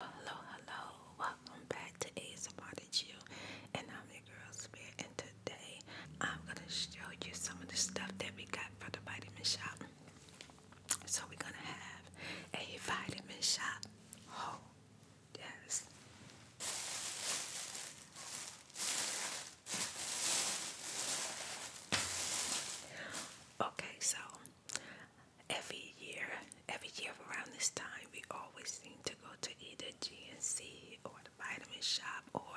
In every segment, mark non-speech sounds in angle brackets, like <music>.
Hello, hello, welcome back to ASMR that you and I'm your girl Spirit and today I'm gonna show you some of the stuff that we got for the vitamin shop. So we're gonna have a vitamin shop haul. Oh, yes. Okay, so every year, every year around this time, we always seem to go to either GNC or the vitamin shop, or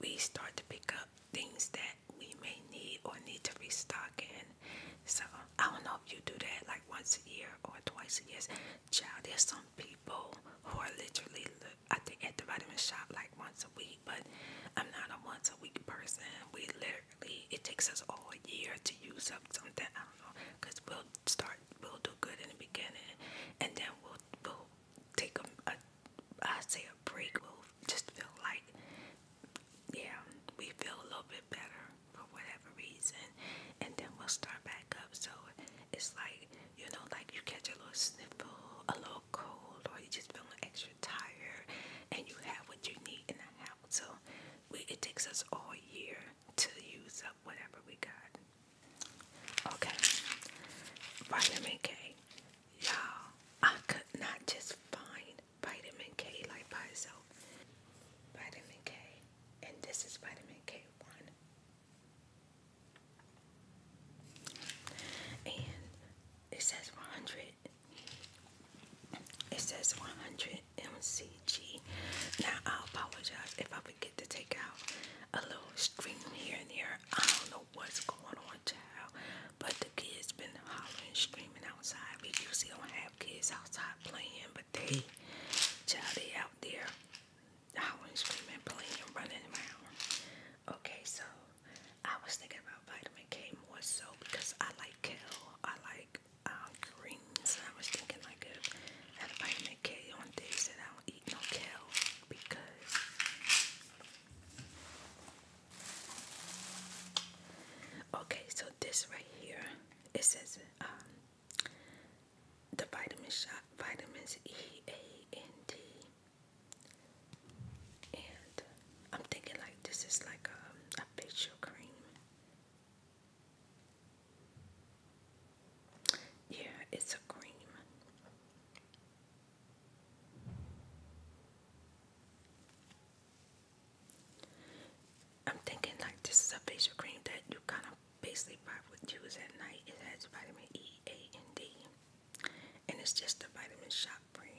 we start to pick up things that we may need or need to restock in. So I don't know if you do that like once a year or twice a year. Child, there's some people who are literally, I at the vitamin shop like once a week, but I'm not a once a week person. We literally it takes us all a year to use up something. I don't know, cause we'll start, we'll do good in the beginning, and then we'll we'll take a, a I say a break. We'll just feel like yeah, we feel a little bit better for whatever reason, and then we'll start back up. So it's like you know, like you catch a little sniffle, a little cold, or you just feeling extra tired, and you have what you need in a so it takes us all year to use up whatever we got. Okay, vitamin K. Y'all, I could not just find vitamin K like by itself. Vitamin K, and this is vitamin K1. And it says 100 it says 100 mcg. Now I apologize if I forget to take out a little stream here and there. I don't know what's going on, child, but the kids been hollering, screaming outside. We usually don't have kids outside playing, but they, child, they out there hollering, screaming, playing, running around. Okay, so I was thinking about vitamin K more so because I like kale, I like uh, greens. I was thinking like a vitamin K on days that I don't eat no kale because okay, so this right here it says um the vitamin shot vitamins E A and D I'm thinking like this is like um, a facial cream yeah, it's a cream. I'm thinking like this is a facial cream that you kind of basically pop with juice at night. It has vitamin E, A, and D. And it's just the Vitamin Shop brand.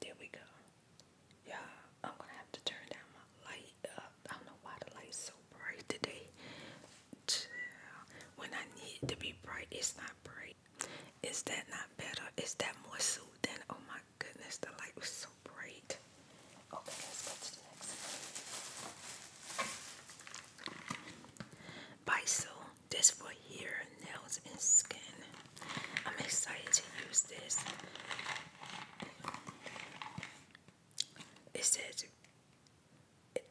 There we go. Yeah, I'm gonna have to turn down my light I don't know why the light's so bright today. When I need to be bright, it's not bright. Is that not better? Is that more soothing? Oh my goodness, the light was so bright open this, let's do next. Biso, this for hair, nails, and skin. I'm excited to use this. It says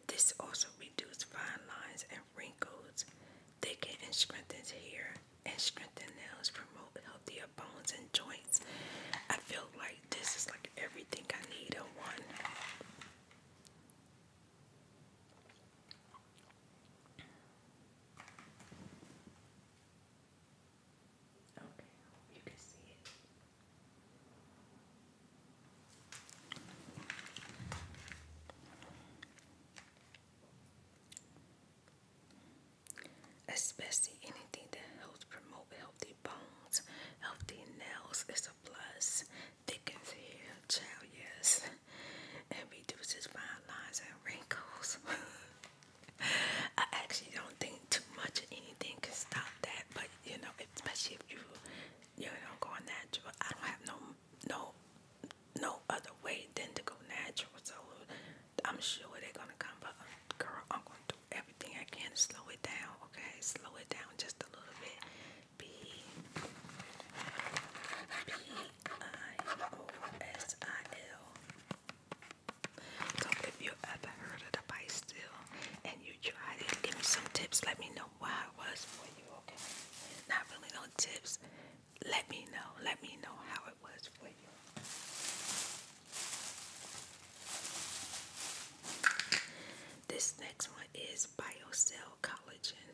this also reduces fine lines and wrinkles, thickens and strengthens hair, and strengthens nails, Promotes healthier bones and joints. I feel like this is like everything I need in one. Okay, you can see it. Especially anything that helps promote healthy bones, healthy nails is a plus. Thickens hair, child, yes, and reduces fine lines and wrinkles. <laughs> I actually don't think too much of anything can stop that, but you know, especially if you you know going natural. I don't have no no no other way than to go natural, so I'm sure they're gonna come. But girl, I'm gonna everything I can to slow it down, okay? Slow it down just a little bit. B B I O S I L. So if you ever heard of the bite still and you tried it, give me some tips. Let me know why it was for you, okay? Not really no tips. Let me know. Let me know how it was for you. This next one is BioCell Collagen.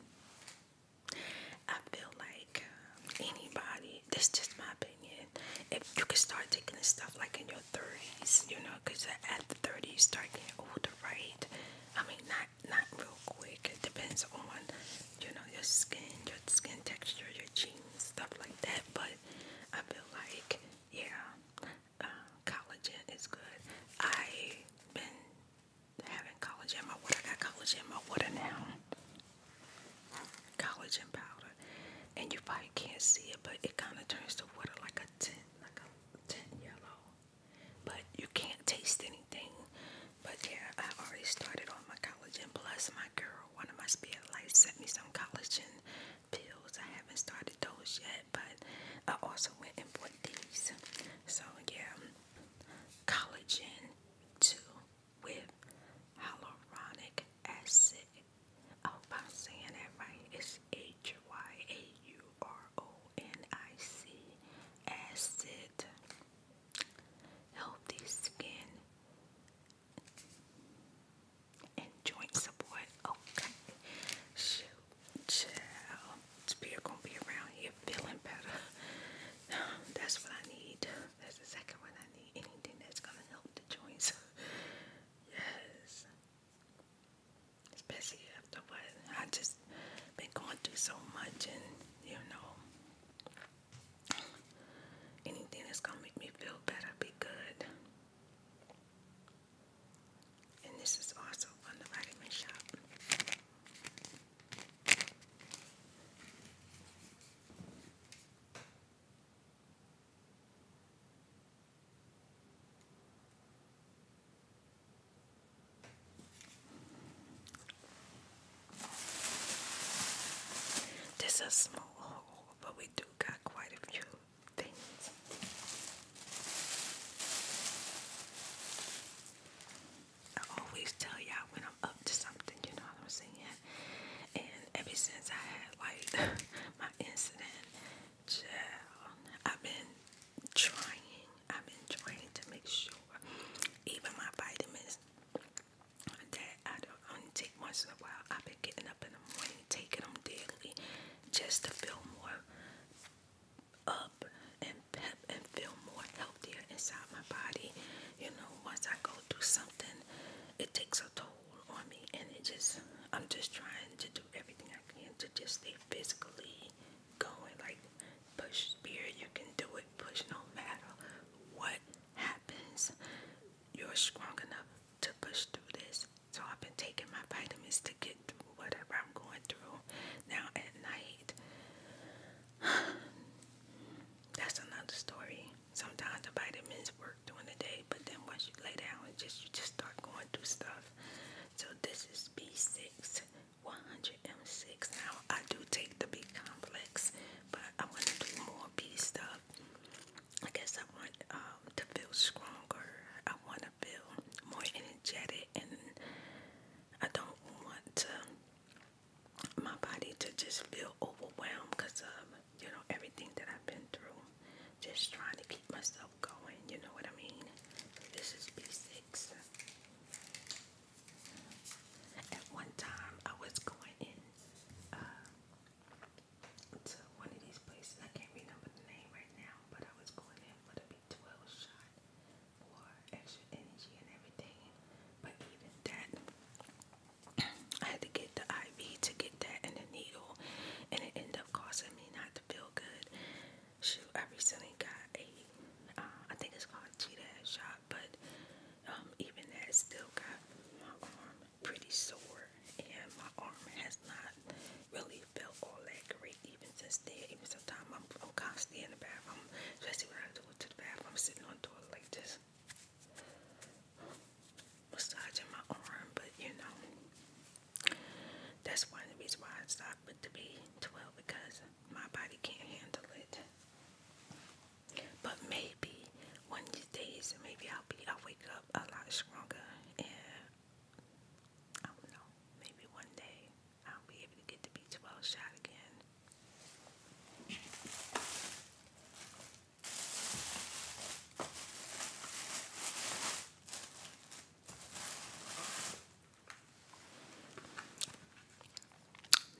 I feel like um, anybody, this is just my opinion, if you can start taking this stuff like in your 30s, you know, because at the 30s, start getting older, right? I mean, not, not real quick. It depends on, you know, your skin, your skin texture, your genes, stuff like that. But I feel like, yeah, um, collagen is good. I've been having collagen in my water. I got collagen in my water now. Collagen powder. And you probably can't see it, but it kind of turns to water like a tint, like a tint yellow. But you can't taste anything. But yeah, I already started on my collagen. Plus, my girl, one of my spirit lights, sent me some collagen pills. I haven't started those yet, but I also went and bought these. So yeah, collagen two with hyaluronic acid. I hope I'm saying that right. It's H Y A U R O N I C acid. Healthy skin and support. Okay. Shoot, child. Spirit gonna be around here feeling better. <sighs> That's what I need. That's exactly what I need. Anything that's gonna help the joints. yes. Especially after what I just been going through so much and you know anything that's gonna make me feel better be good. And this is also from the vitamin shop. This is a small haul, but we do got quite a few things. I always tell y'all when I'm up to something, you know what I'm saying? And ever since I had like <laughs> my incident, child, I've been trying, I've been trying to make sure even my vitamins that I I only take once in a while. I've been getting up in the morning, taking them daily just to feel more up and pep and feel more healthier inside my body. You know, once I go through something, it takes a toll on me, and it just, I'm just trying to do everything I can to just stay physically going. Like, push spirit, you can do it, push no matter what happens. You're strong enough to push through this. So I've been taking my vitamins to get through whatever I'm going through. Now at night, <sighs> that's another story. Sometimes the vitamins work during the day, but then once you lay down, it just you just start going through stuff. So this is B6, 100M6. Now I do take the big complex, but I am going to do more B stuff. I guess I want um, to feel stronger. I want to feel more energetic, and I don't want to, um, my body to just feel overwhelmed because of you know everything that I've been through. Just trying to keep myself going. You know what I mean? This is B6. At one time, I was going in. Uh, to one of these places. I can't remember the name right now, but I was going in for the 12 shot for extra energy and everything. But even that, I had to get the IV to get that and the needle, and it ended up causing me not to feel good. Shoot, I recently got a, uh, I think it's called a cheetah shot, but um, even that still got my arm pretty sore and my arm has not really felt all that great even since then. Even sometimes I'm, constantly in the bathroom, especially when I do it to the bathroom, I'm sitting on the toilet like this, massaging my arm, but you know, that's one of the reasons why I stopped with the B12 because my body can't handle it. But me, maybe one of these maybe I'll be, I'll wake up a lot stronger, and I don't know, maybe one day I'll be able to get the B12 shot again.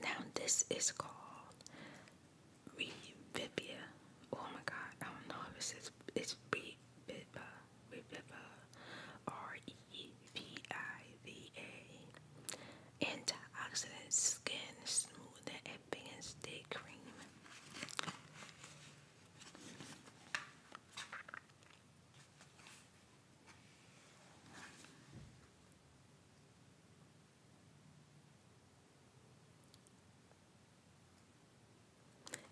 Now, this is called Revivia. Oh my god, I don't know if it says it's Reviva. Reviva. R E V I V A. Antioxidant skin smoother advanced day cream.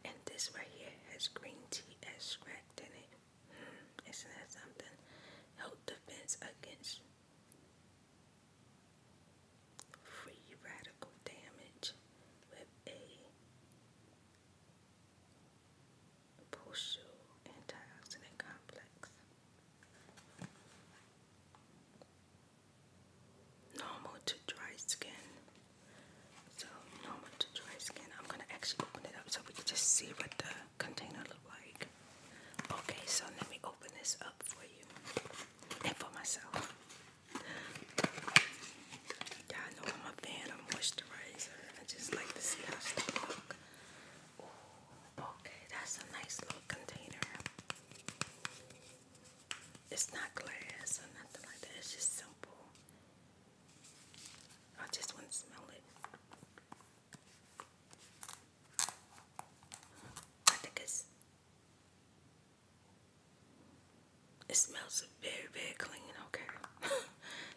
And this right here has green tea extract in it. Hmm, isn't that something? Help defense against free radical damage with a Bushel antioxidant complex normal to dry skin. So normal to dry skin. I'm gonna actually open it up so we can just see what the container looks like. Okay, so let me open this up for you and for myself. Yeah, I know I'm a fan of moisturizer. I just like to see how stuff look. okay, that's a nice little container. It's not glass or nothing like that. It's just simple. I just want to smell it. I think it's. It smells very, very clean, okay? <laughs>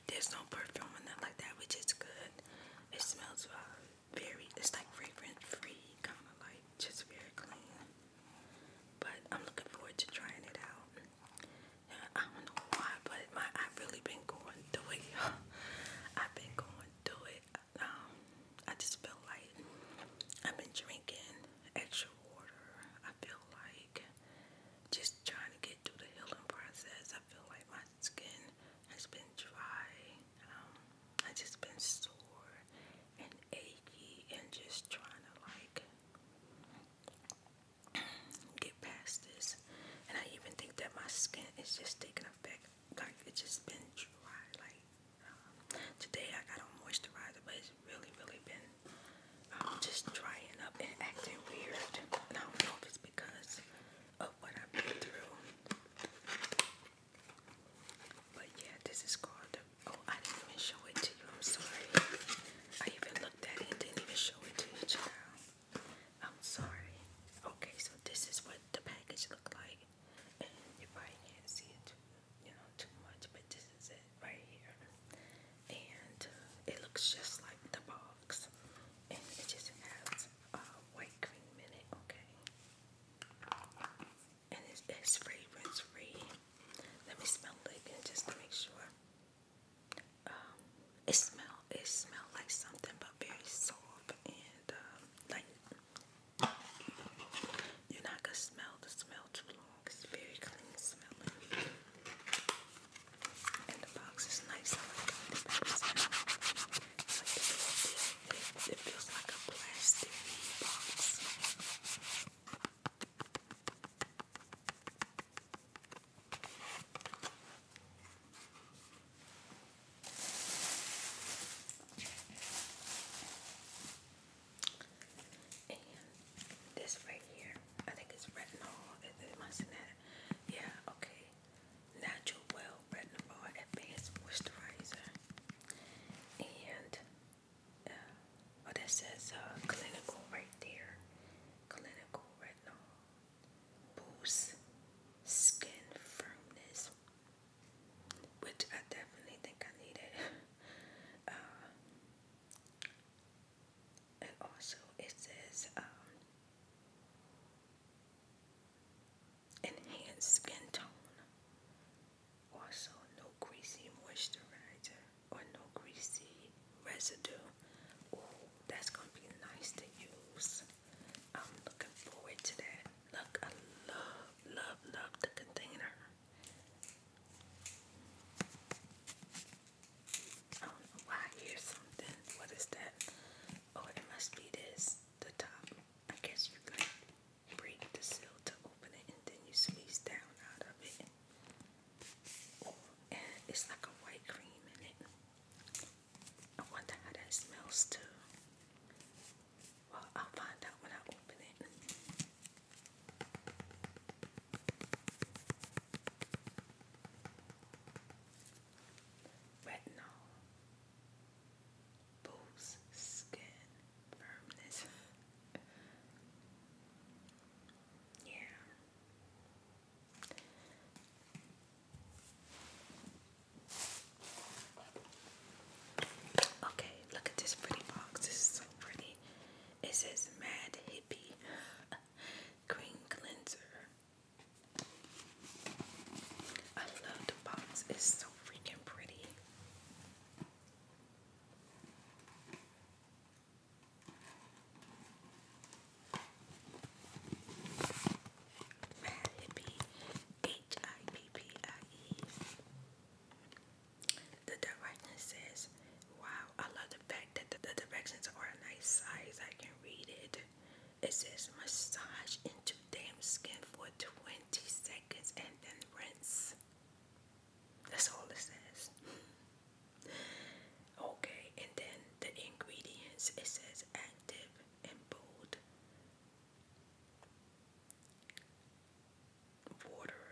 There's no perfume or nothing like that, which is good. It smells uh, very, it's like fragrance free, kind of like just very clean. But I'm looking forward to trying it out. I don't know why, but my I've really been going through it. <laughs> I've been going through it. Um, I just feel like I've been drinking extra water. I feel like just trying to get through the healing process. I feel like my skin has been dry. Um, I just been sore and achy and just trying to like get past this. And I even think that my skin is just taking effect. Like it's just been dry. Like um, today I got on moisturizer, but it's really, really been um, just drying up and acting weird. And I don't know if it's because of what I've been through. But yeah, this is called. Oh, I didn't even show it to you. I'm sorry. I even looked at it and didn't even show it to you, I'm sorry. Okay, so this is what the package looked like, and you probably can't see it, you know, too much. But this is it right here, and uh, it looks just like the box, and it just has white cream in it. Okay and it's, fragrance free. Let me smell it again just to make sure. Um, it smell it smell like something but very soft and um, like you're not gonna smell the smell too long. It's very clean smelling. And the box is nice it feels like a plastic box. And this right here, I think it's retinol. It, must have that. Yeah, okay. Natural Well Retinol Advanced Moisturizer and uh, oh, that says uh, clinical right there. Clinical retinol boosts skin firmness, which I definitely think I needed. <laughs> uh, and also, it says um, enhanced skin tone. Also, no greasy moisturizer or no greasy residue. Ooh, that's gonna be nice to use. I'm looking forward to that. Look, I love, love, love the container. I don't know why I hear something. What is that? Oh, it must be this. The top. I guess you could break the seal to open it, and then you squeeze down out of it. it's like a white cream in it. I wonder how that smells too. Well, I'll find out when I open it. Retinol boosts skin firmness. <laughs> yeah. Okay, look at this pretty box. This is so pretty. It says Mad Hippie <laughs> Green Cleanser. I love the box. It's so freaking pretty. Mad Hippie, H I P P I E. The directions says, "Wow, I love the fact that the, directions are a nice size. I can read it." It says, "Massage into damn skin for 20 seconds and then rinse. That's all it says. <laughs> okay, and then the ingredients it says active and bold. Water,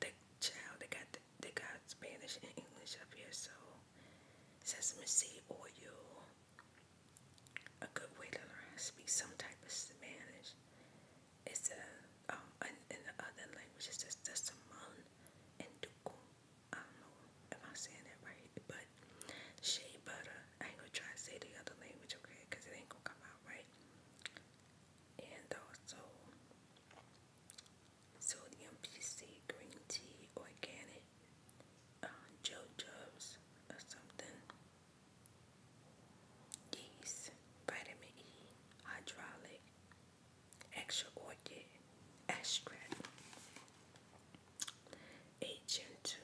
The child they got the, they got Spanish and English up here, so sesame seed oil, a good way to learn how to speak some type of Spanish is to, um, in, the other language, it's just the Saman and Duku. I don't know if i saying that right, but shea butter. I ain't gonna try to say the other language, okay, because it ain't gonna come out right. And also, sodium PC green tea, organic uh, Joe Jobs or something. Yeast, vitamin E, hydraulic, extra orchid, extract, agent 2,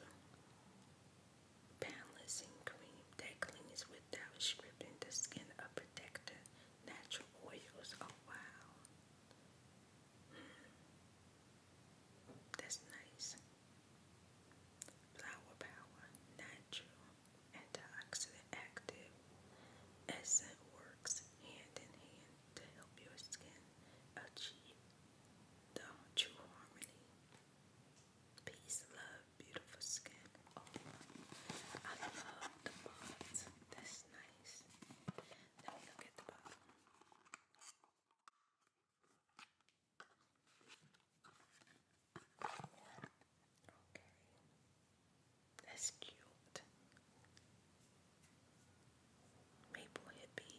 balancing cream that cleans without stripping the skin of protector, natural oils. Oh wow. Hmm. That's nice. Flower power, natural, antioxidant active, essence works hand in hand to help your skin achieve the true harmony. Peace, love, beautiful skin. Oh, I love the bonds. That's nice. Let me look at the bottom. Okay. That's cute. Maple hippie.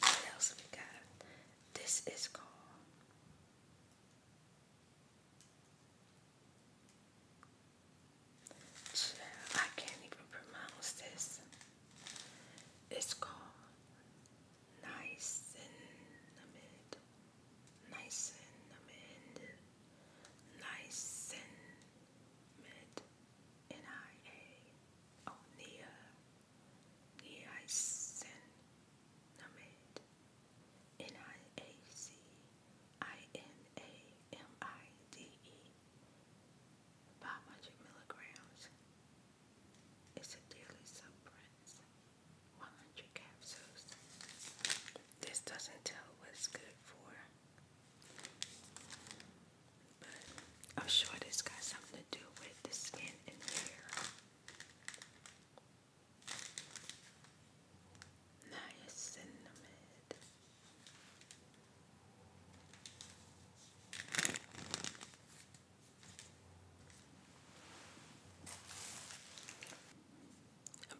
What else we got? This is called I can't even pronounce this. It's called niacinamide, niacinamide, niacinamide, N-I-A on the uh, niacin namate, 500 milligrams. It's a daily suppress, 100 capsules. This doesn't tell what's good for. I'm sure this got something to do with the skin and hair. Niacinamide.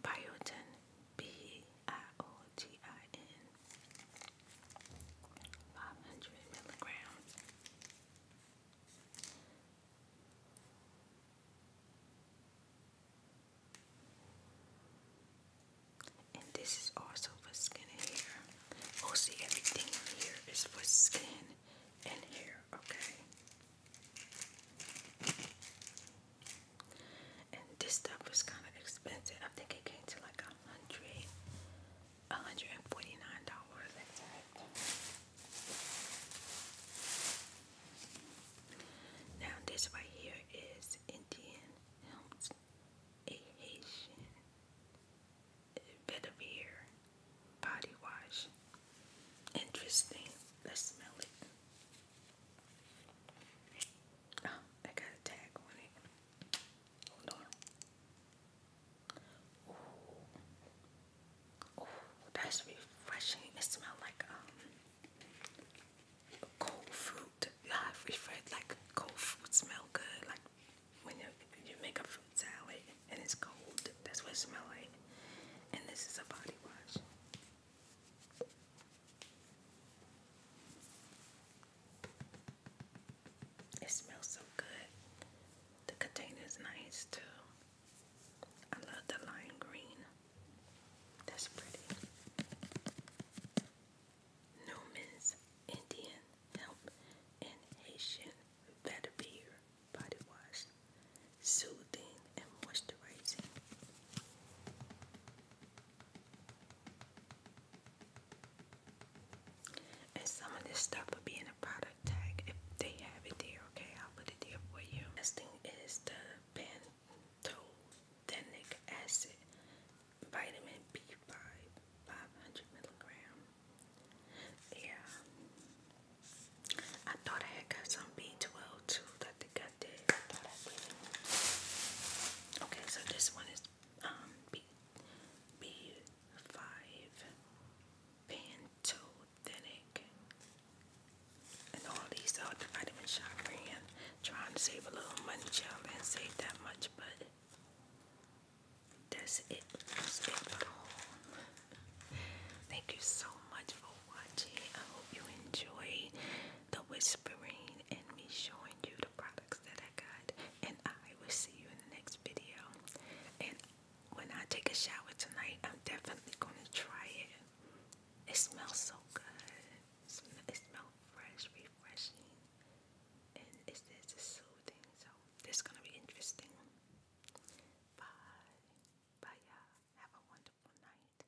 Biotin, B I O T I N. 500 milligrams. And this is also for skin and hair. Mostly oh, everything here is for skin and hair, okay? this stuff was kind of expensive. I think it came to like a hundred, a hundred and forty nine dollars exact. Now this right here is Indian a Haitian vetiver body wash. Interesting. Let's smell it. Oh, I got a tag on it that's refreshing. It smells like um cold fruit. Yeah, I've like cold fruit smell good. Like when you you make a fruit salad and it's cold. That's what it smells like. And this is a body wash. It smells so good. The container is nice too. I love the lime green. That's pretty. Newman's Indian Hemp and Haitian Better Body Wash. Soothing and moisturizing. And some of this stuff will be in a product tag if they have it there, okay? I'll put it there for you. Next thing is the Pantotenic acid vitamin B5, 500 milligram. Yeah. I thought I had got some B12 too. I think I did. Okay, so this one is um, B, B5 pantothenic and all these other vitamin trying to save a little money child and save that much but that's it thank you so much for watching I hope you enjoy the whisper and me showing you the products that I got. And I will see you in the next video. And when I take a shower tonight, I'm definitely going to try it. It smells so good. It smells fresh, refreshing. And it's just it's soothing. So this is going to be interesting. Bye. Bye, y'all. Have a wonderful night.